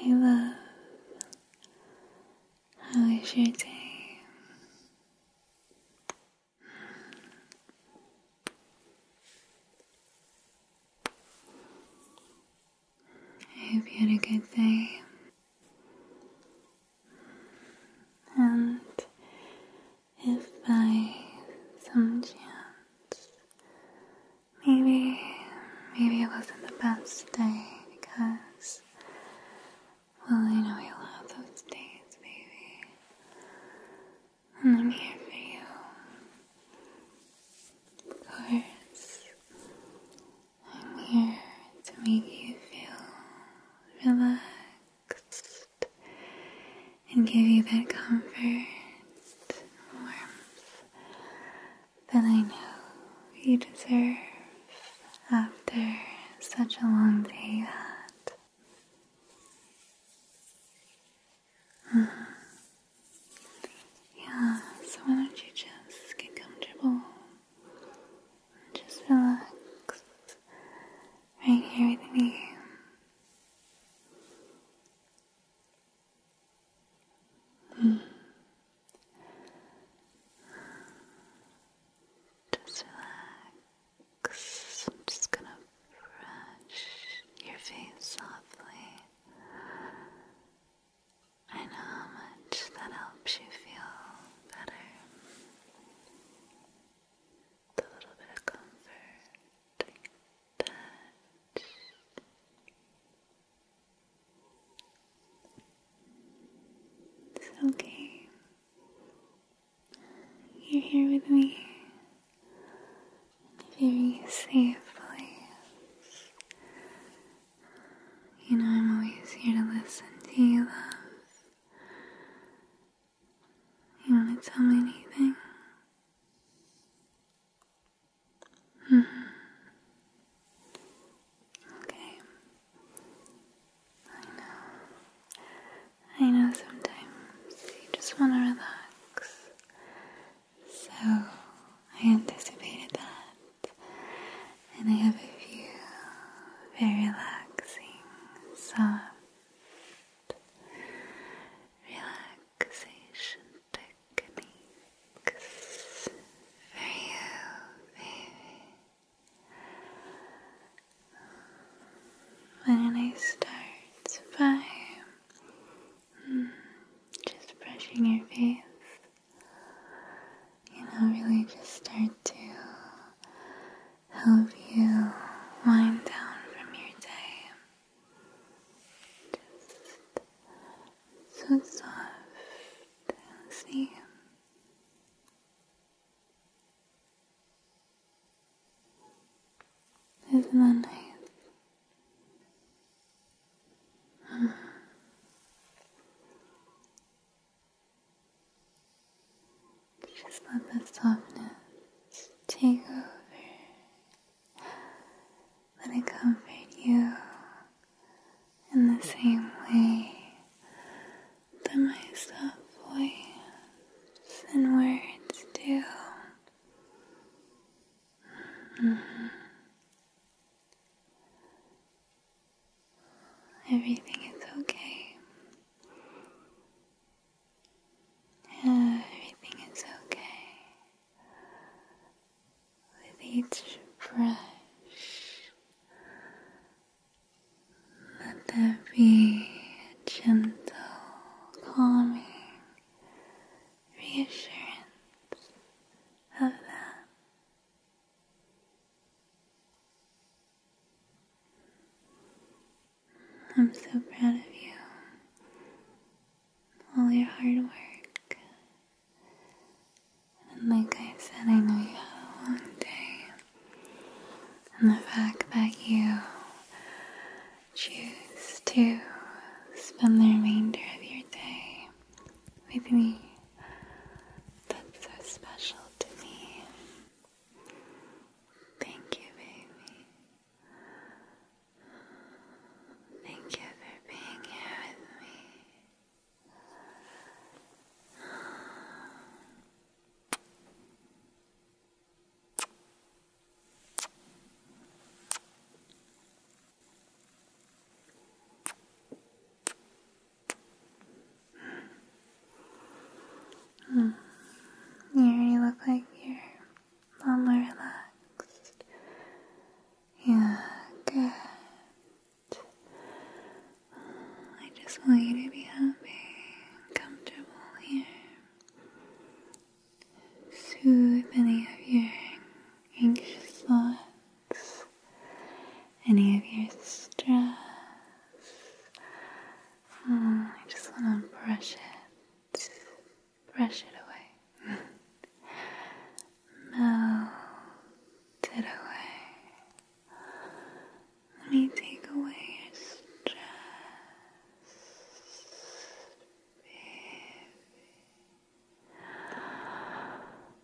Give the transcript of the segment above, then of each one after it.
I love how is your day? I hope you had a good day. And if by some chance maybe maybe it wasn't the best day because well I know you'll have those days, baby. And I'm here for you. Of course. I'm here to make you feel relaxed and give you that comfort, warmth that I know you deserve after such a long day mm-hmm. Yeah, so why don't you just get comfortable? Just relax right here with you. Mm. Just relax. I'm just gonna brush your face softly. I know how much that helps you feel better a little bit of comforting touch. It's okay. You're here with me in a very safe place. You know, I'm always here to listen to you, love. You want to tell me anything? -hmm. Okay. I know. I know sometimes you just want to relax. So I anticipated that. And I have a few very relaxing, soft relaxation techniques for you, baby. I start by just brushing your face? You know, really just start to help you wind down from your day. Just so soft and see. Isn't that nice? Mm-hmm. Just let that softness take over. Let it comfort you in the same way that my soft voice and words do. Mm-hmm. Everything is okay. Everything is okay. With each brush, let there be a gentle, calming reassurance of that I'm so proud of you. All your hard work. And like I said, I know you had a long day. And the fact that you choose to spend the remainder of your day with me, that's so special to me. Thank you, baby. Thank you for being here with me. Hmm. You already look like you're a lot more relaxed. Yeah, good. I just want you to be happy and comfortable here. Soothe any of your anxious thoughts any of your stress. Mm, I just want to brush it, brush it away, melt it away. Let me take away your stress, just relax, baby. Relax,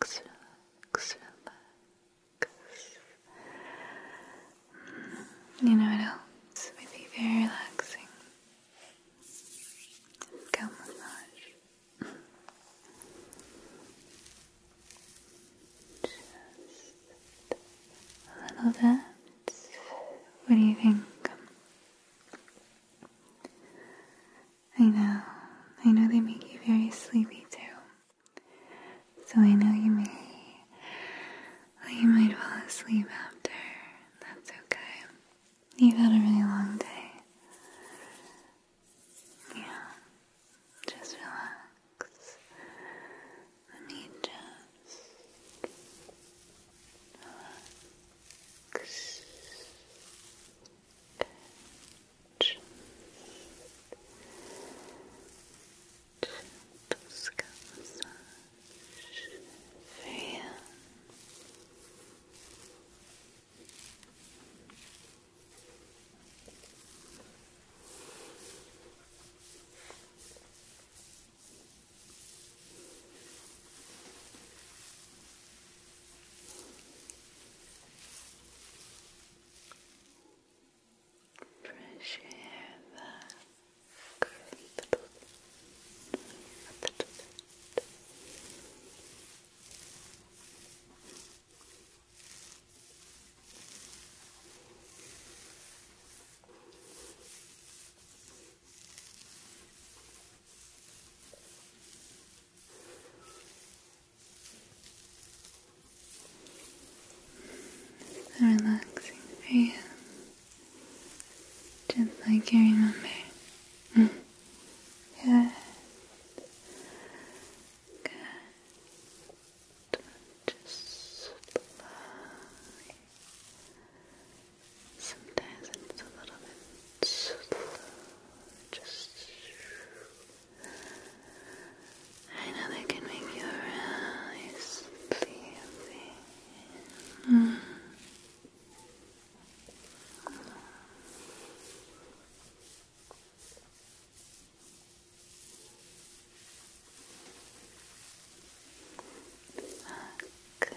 relax, relax, You know what else would be very relaxing? Scalp just a little bit. What do you think? I know, I know they make you very sleepy too. So I know you may, you might fall asleep after. That's okay. You've had a really long day. Yeah, just relax. Let me just relax. Good. Just massage for you. Fresh air back a little bit, a little Relaxing for you, just like you remember. Yeah. Good. Just Sometimes it's a little bit Just. I know that can make you really sleepy. Mm. Good. Go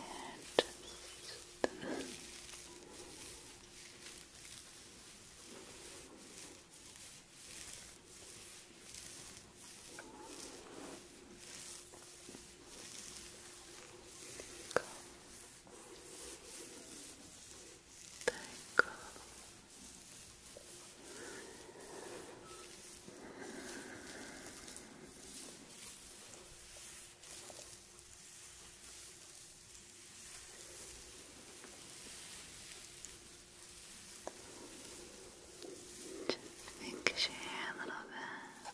Thank Just pinkish a little bit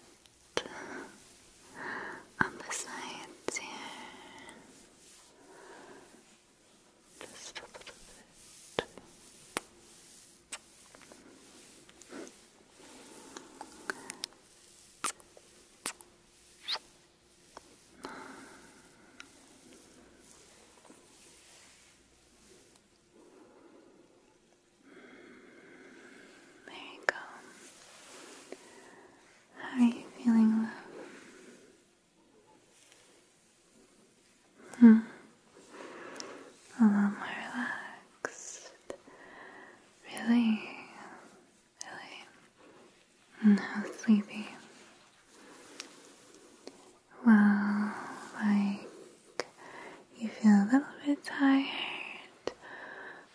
on the sides here. There you go. How are you feeling, love? Hmm. A lot more relaxed. Really? Really? And how sleepy. Well, like you feel a little bit tired, it,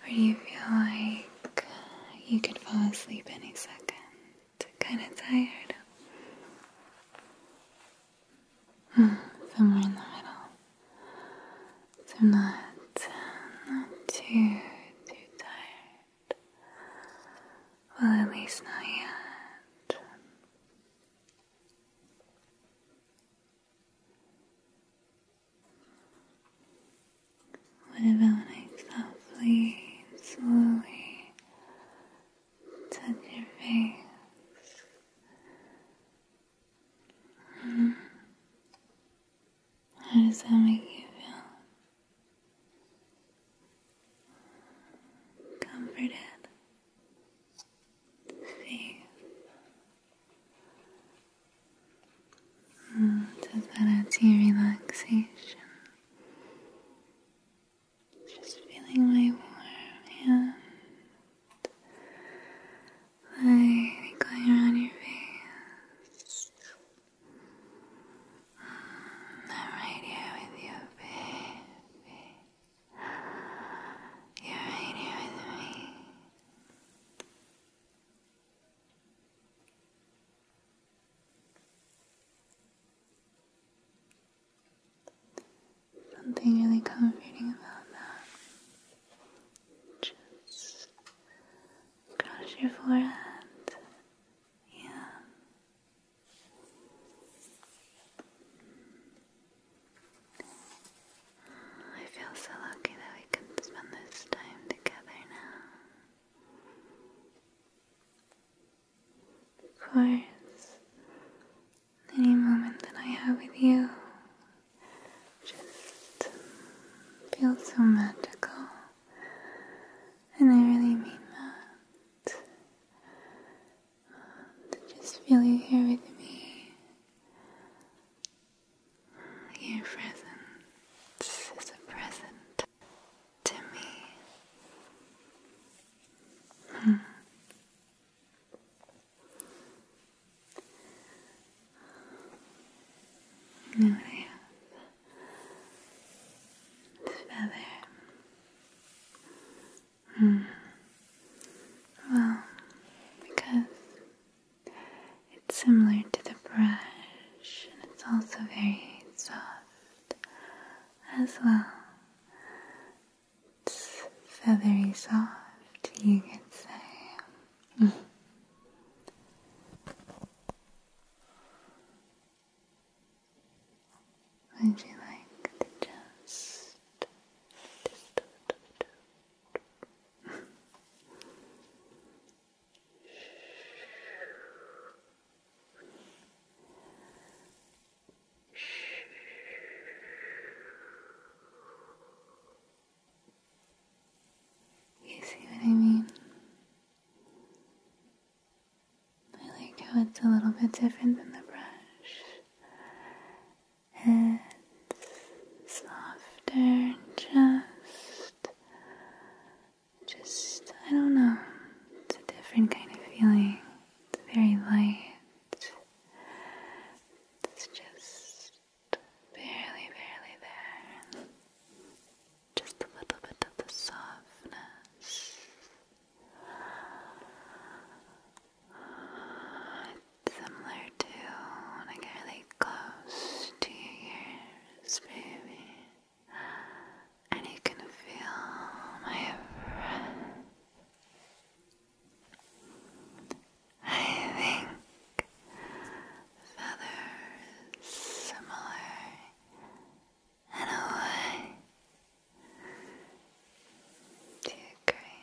or do you feel like you could fall asleep any second? Kind of tired? Hmm, somewhere in the middle. So not, not too, too tired. Well, at least not yet. Whatever, like softly slowly touch your face. Mm-hmm. How does that make you feel? Comforted, safe does that add your relaxation? Just feeling my warm hand like going around your face. I'm right here with you, baby. You're right here with me. Something really comforting about that. Just cross your forehead. Yeah. I feel so lucky that we can spend this time together now. Of course, any moment that I have with you just feels so magical, and I really mean that. To just feel you here with me your presence is a present to me. Hmm. this feather, hmm. well, because it's similar to the brush and it's also very soft as well. It's feathery soft, you could say. Mm. Would you like to just, you see what I mean? I like how it's a little bit different than the brush. And softer just, just, I don't know, it's a different kind of feeling. It's very light. It's just barely, barely there. Just a little bit of the softness similar to when like really close to your ears, baby. And you can feel my breath. I think feathers similar in a way. Do you agree?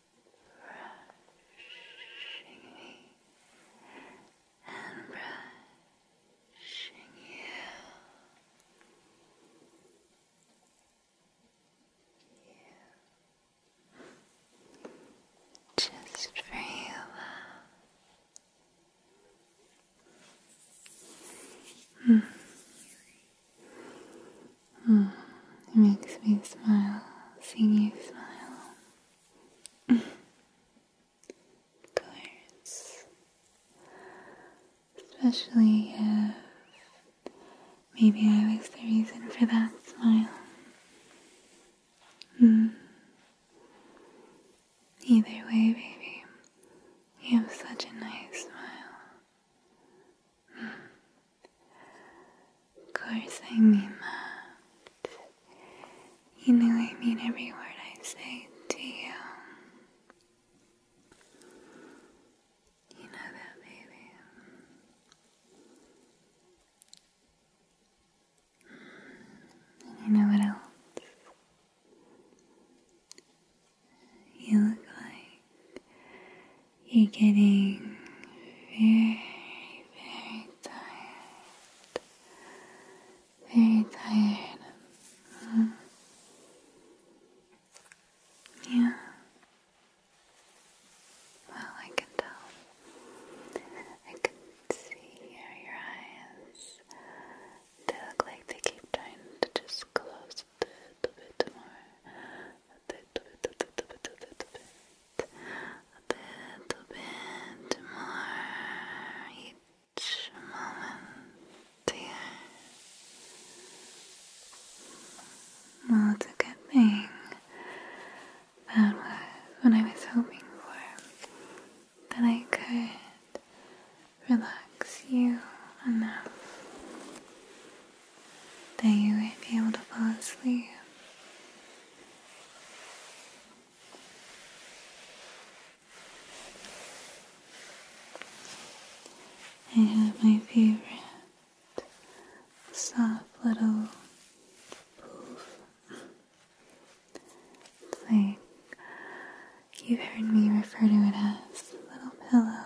brushing me and brushing you. Just for you, Hmm it hmm. makes me smile seeing you smile. of course. Especially if maybe I was the reason for that smile. Hmm. Either way, baby, you have such a nice smile cursing me mad. You know I mean every word I say to you. You know that, baby. you know what else? You look like you're getting very, very tired. Very tired. Yeah. Well, I can tell. I can see here your eyes. They look like they keep trying to just close a little bit more a bit, bit, a bit, bit, a bit, bit, a bit, bit more each moment here. Well, it's a good thing that was what I was hoping for, that I could relax you enough then you won't be able to fall asleep. I have my favorite soft little poof. like you've heard me refer to it as little pillow.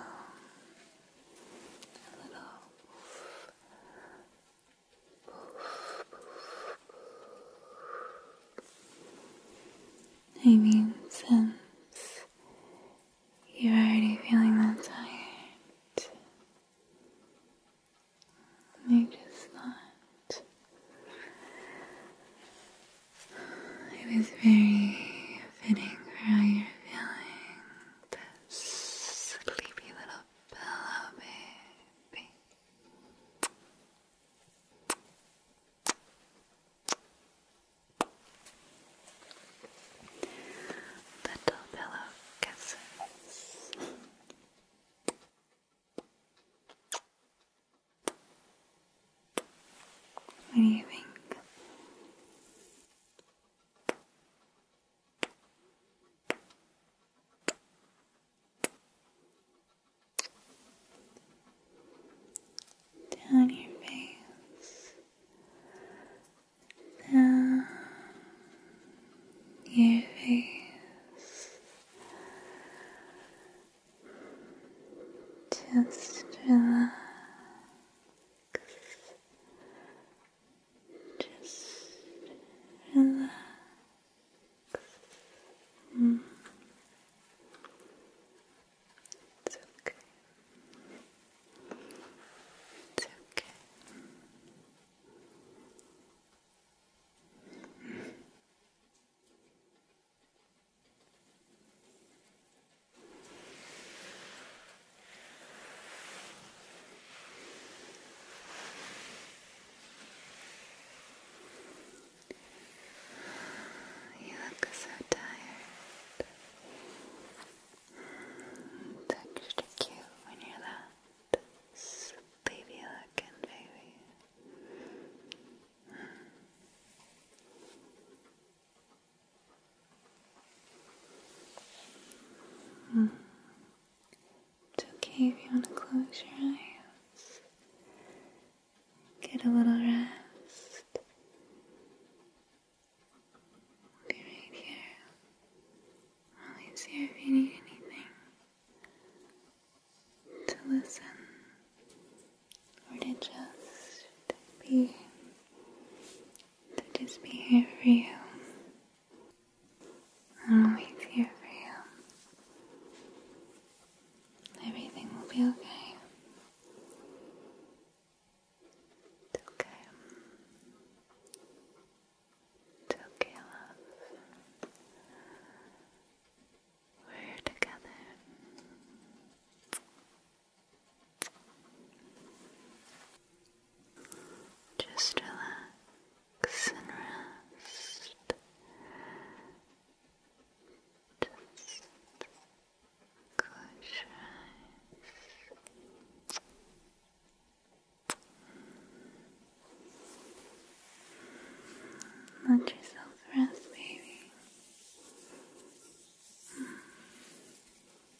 I mean, since you're already feeling that tired, I just thought it was very fitting for how you're feeling sleepy little pillow baby. Little pillow kisses. What do you think? Down your face, down your face, just relax. Just relax. It's okay. It's okay. You look so tired. It's extra cute when you're that sleepy looking baby. Hmm. It's okay if you want to close your eyes. Get a little rest. I'll be right here. Always here if you need anything. To listen. Or to just be just be here for you. I'm always here for you. Everything will be okay. It's okay. It's okay, love. We're together. Just relax and rest. Let yourself rest, baby.